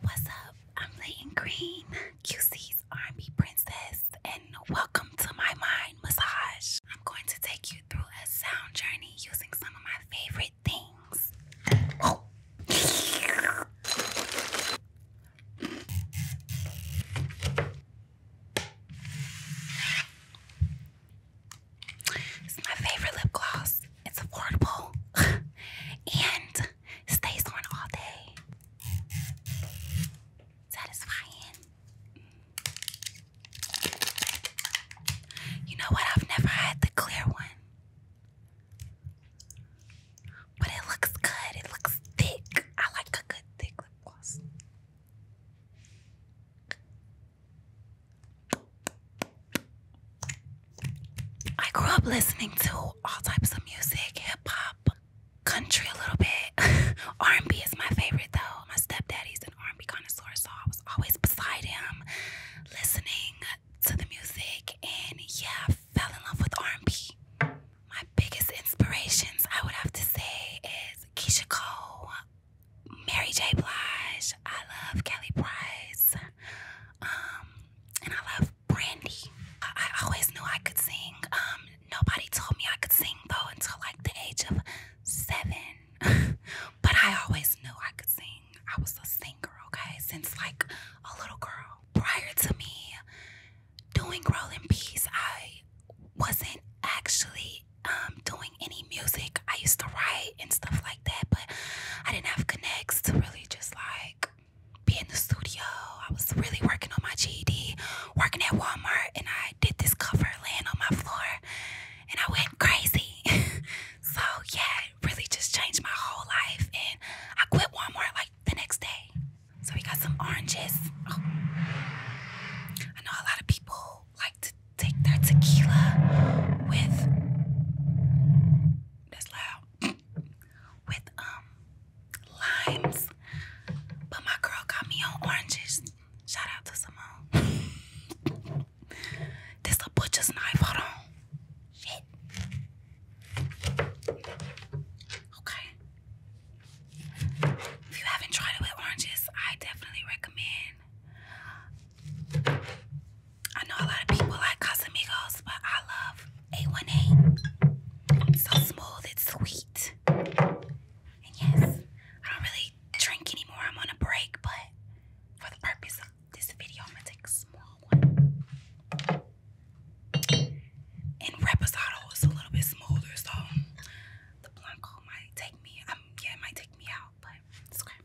What's up? I'm Layton Green, QC's R&B princess, and welcome to my mind massage. I'm going to take you through a sound journey using some of my favorite things. It's my favorite lip gloss. It's affordable and stays on all day. Satisfying. You know what? I've never had the clear one. But it looks good. It looks thick. I like a good thick lip gloss. I grew up listening to all types of music, hip hop, country a little bit. R&B is my favorite though. My stepdaddy's an R&B connoisseur, so I was always beside him listening to the music and yeah, fell in love with R&B. My biggest inspirations, I would have to say, is Keisha Cole, Mary J. Blige. I love Kelly Price. Um, and I love Brandy. I, always knew I could sing. Um, nobody told me I could sing though until like the age of seven. but I always knew I could sing. I was a singer, okay, since like a little girl. Prior to me doing Roll Peace, I wasn't actually um, doing any music. I used to write and stuff like that, but I didn't have connects to really just like be in the studio. I was really working on my GED, working at Walmart, and I did this cover laying on my floor, and I went crazy. so yeah, it really just changed my whole life, and I quit Walmart like the next day. So we got some oranges. Oh. I know a lot of people like to take their tequila with that's loud with um limes, but my girl got me on oranges. Shout out to Simone. this a butcher's knife. Hold on. Shit. Okay. If you haven't tried it with oranges, I definitely recommend. I know a lot of people like Casamigos, but I love A1A. It's so smooth, it's sweet. And yes, I don't really drink anymore. I'm on a break, but for the purpose of this video, I'm gonna take a small one. And Reposado is a little bit smoother, so the Blanco might take me. Um, yeah, it might take me out, but it's okay.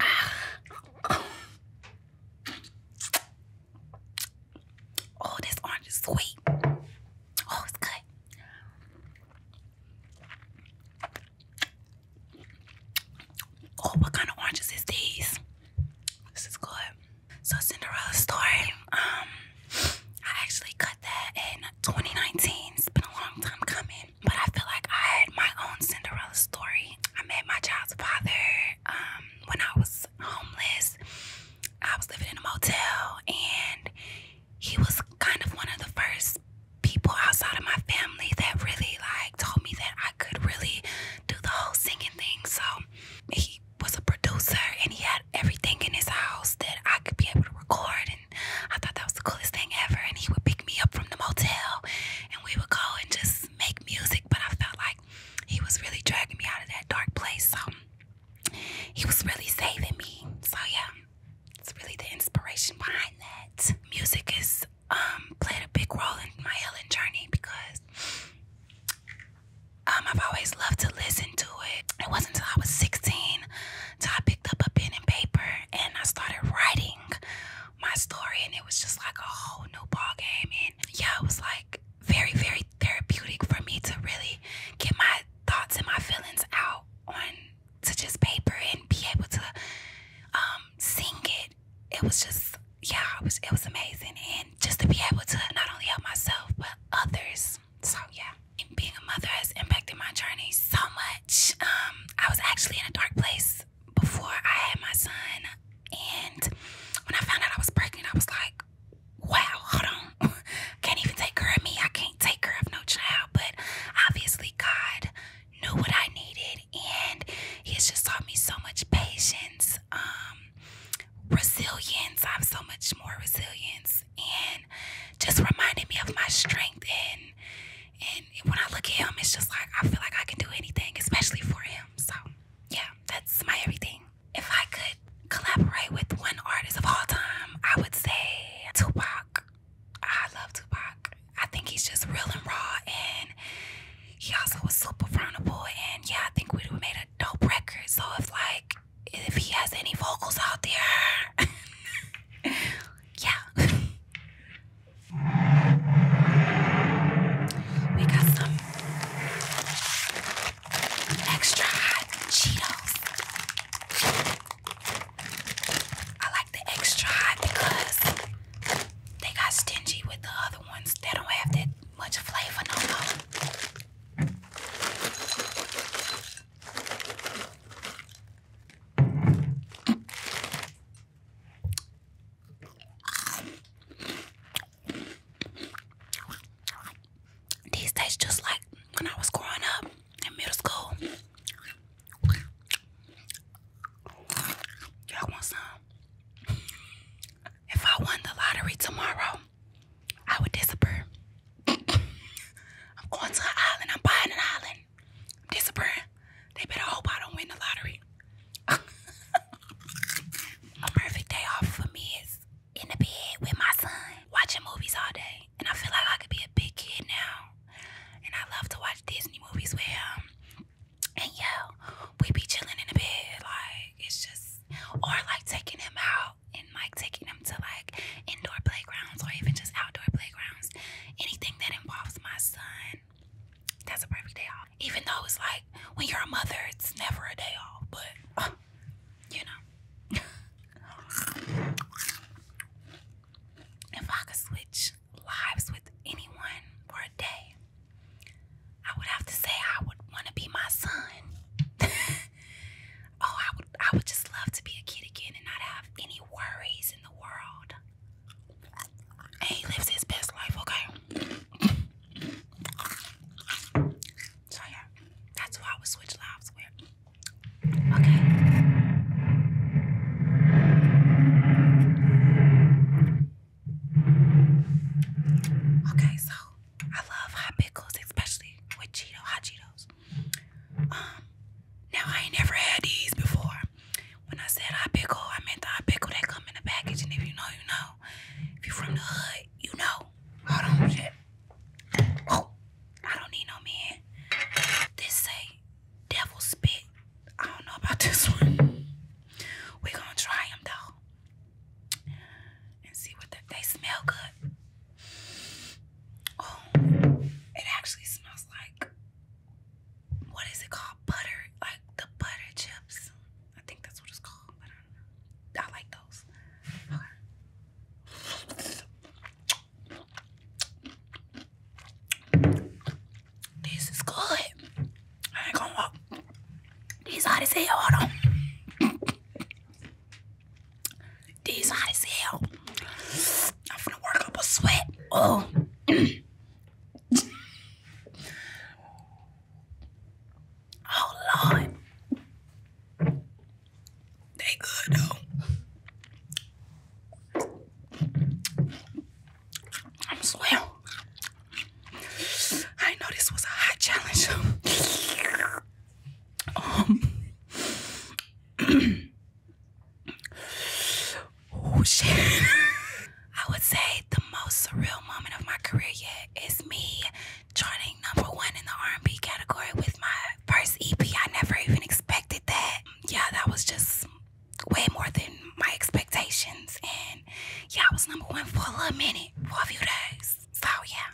Oh, this orange is sweet. Oh, it's good. Oh, what kind of oranges is these? This is good. So Cinderella's story. Um, I actually cut that in 2019. It's been a long time coming, but I feel like I had my own Cinderella story. I met my child's father um, when I was homeless. I was living in a motel, and he was kind of one of the first people outside of my family that really like told me that I could really do the whole singing thing. So he was a producer and he had everything in his house that I could be able to record and I thought that was the coolest thing ever and he would pick me up from the motel and we would go and just make music but I felt like he was really dragging me out of that dark place so he was really saving me. So yeah. It's really the inspiration behind that. Music is um, played a big role in my healing journey because um, I've always loved to listen to it. It wasn't until I was 16 till I picked up a pen and paper and I started writing my story, and it was just like a whole new ball game. And yeah, it was like very, very therapeutic for me to really get my thoughts and my feelings out on to just paper and be able to um, sing it. It was just yeah, it was it was amazing, and just to be able to not only help myself but others. So yeah, being a mother has impacted my journey so much. Um, I was actually in a dark place before I had my son, and when I found out I was pregnant, I was like, wow, hold on, can't even take her of me. I can't take her of no child, but obviously God knew what I needed, and he has just taught me so much patience, um, resilience. I'm so much more resilience, and just reminded me of my strength. And and when I look at him, it's just like I feel like I can do anything, especially for him. So yeah, that's my everything. If I could collaborate with one artist of all time, I would say Tupac. I love Tupac. I think he's just real and raw, and he also was super vulnerable. And yeah, I think we would made a dope record. So if like if he has any vocals out there, yeah, we got some extra hot Cheetos. I like the extra high because they got stingy with the other ones. They don't have that much flavor no more. These days, just like when I was growing up in middle school. Y'all want some? If I won the lottery tomorrow, I would disappear. I'm going to an island. I'm buying an island. I'm disappearing. They better hope I don't win the lottery. A perfect day off for me is in the bed with my son, watching movies all day. And I feel like I could be a big kid now and I love to watch Disney movies with him. And yeah, we be chilling in the bed. Like, it's just, or like taking him out and like taking him to like indoor playgrounds or even just outdoor playgrounds. Anything that involves my son, that's a perfect day off. Even though it's like when you're a mother, it's never a day off, but you know. if I could switch lives with anyone for a day, I would have to say I would want to be my son. oh, I would I would just love to be a kid again and not have any worries in the world. he lives his best life, okay? So yeah, that's who I would switch lives with. Okay. Okay, so I love hot pickles, especially with Cheeto, hot Cheetos. Um, now I ain't never had these before. When I said hot pickle, I meant the hot pickle that come in the package, and if you know, you know. If you from the hood, you know. Hold on, I don't need no man. This say devil spit. I don't know about this one. We're gonna try them though. And see what they, smell good. Oh, it actually smells like what is it called? Butter, like the butter chips. I think that's what it's called, but I like those. This is good. I ain't gonna walk. This hot as hell. Hold on. These hot as hell. I'm gonna work up a sweat. Oh. oh Lord. They good though. I'm swell. I know this was a hot challenge. um Oh shit. I would say the most surreal moment of my career yet is me charting number one in the R&B category with my first EP. I never even expected that. Yeah, that was just way more than my expectations. And yeah, I was number one for a little minute, for a few days. So yeah,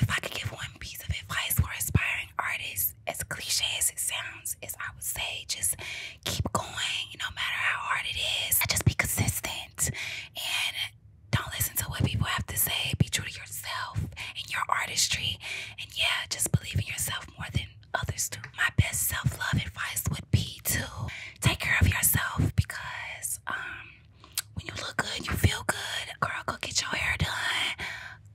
if I could give one piece of advice for aspiring artists, as cliche as it sounds, is I would say just keep going, no matter how hard it is. I just be consistent and don't listen to what people have to say. Be true to yourself and your artistry. And yeah, just believe in yourself more than others do. My best self love advice would be to take care of yourself because um, when you look good, you feel good. Girl, go get your hair done.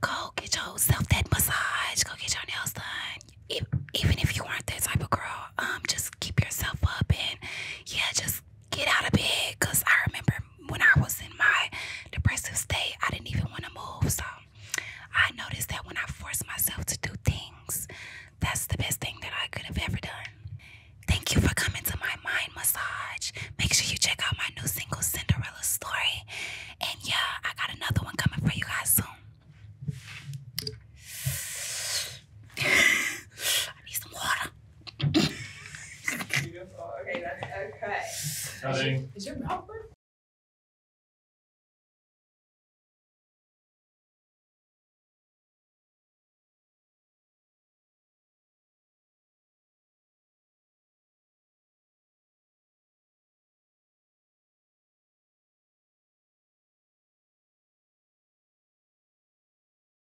Go get your self dead massage. Go get your nails done. even if you aren't that type of girl, um, just keep yourself up and yeah, just get out of bed. Cause I remember when I was in my depressive state, I didn't even want to move. So I noticed that when I forced myself to do things, that's the best thing that I could have ever done. Thank you for coming to my mind massage. Make sure you check out my new single, Cinderella Story. And yeah, I got another one coming for you guys soon. I need some water. Beautiful. Okay, that's okay. Is your mouth burning?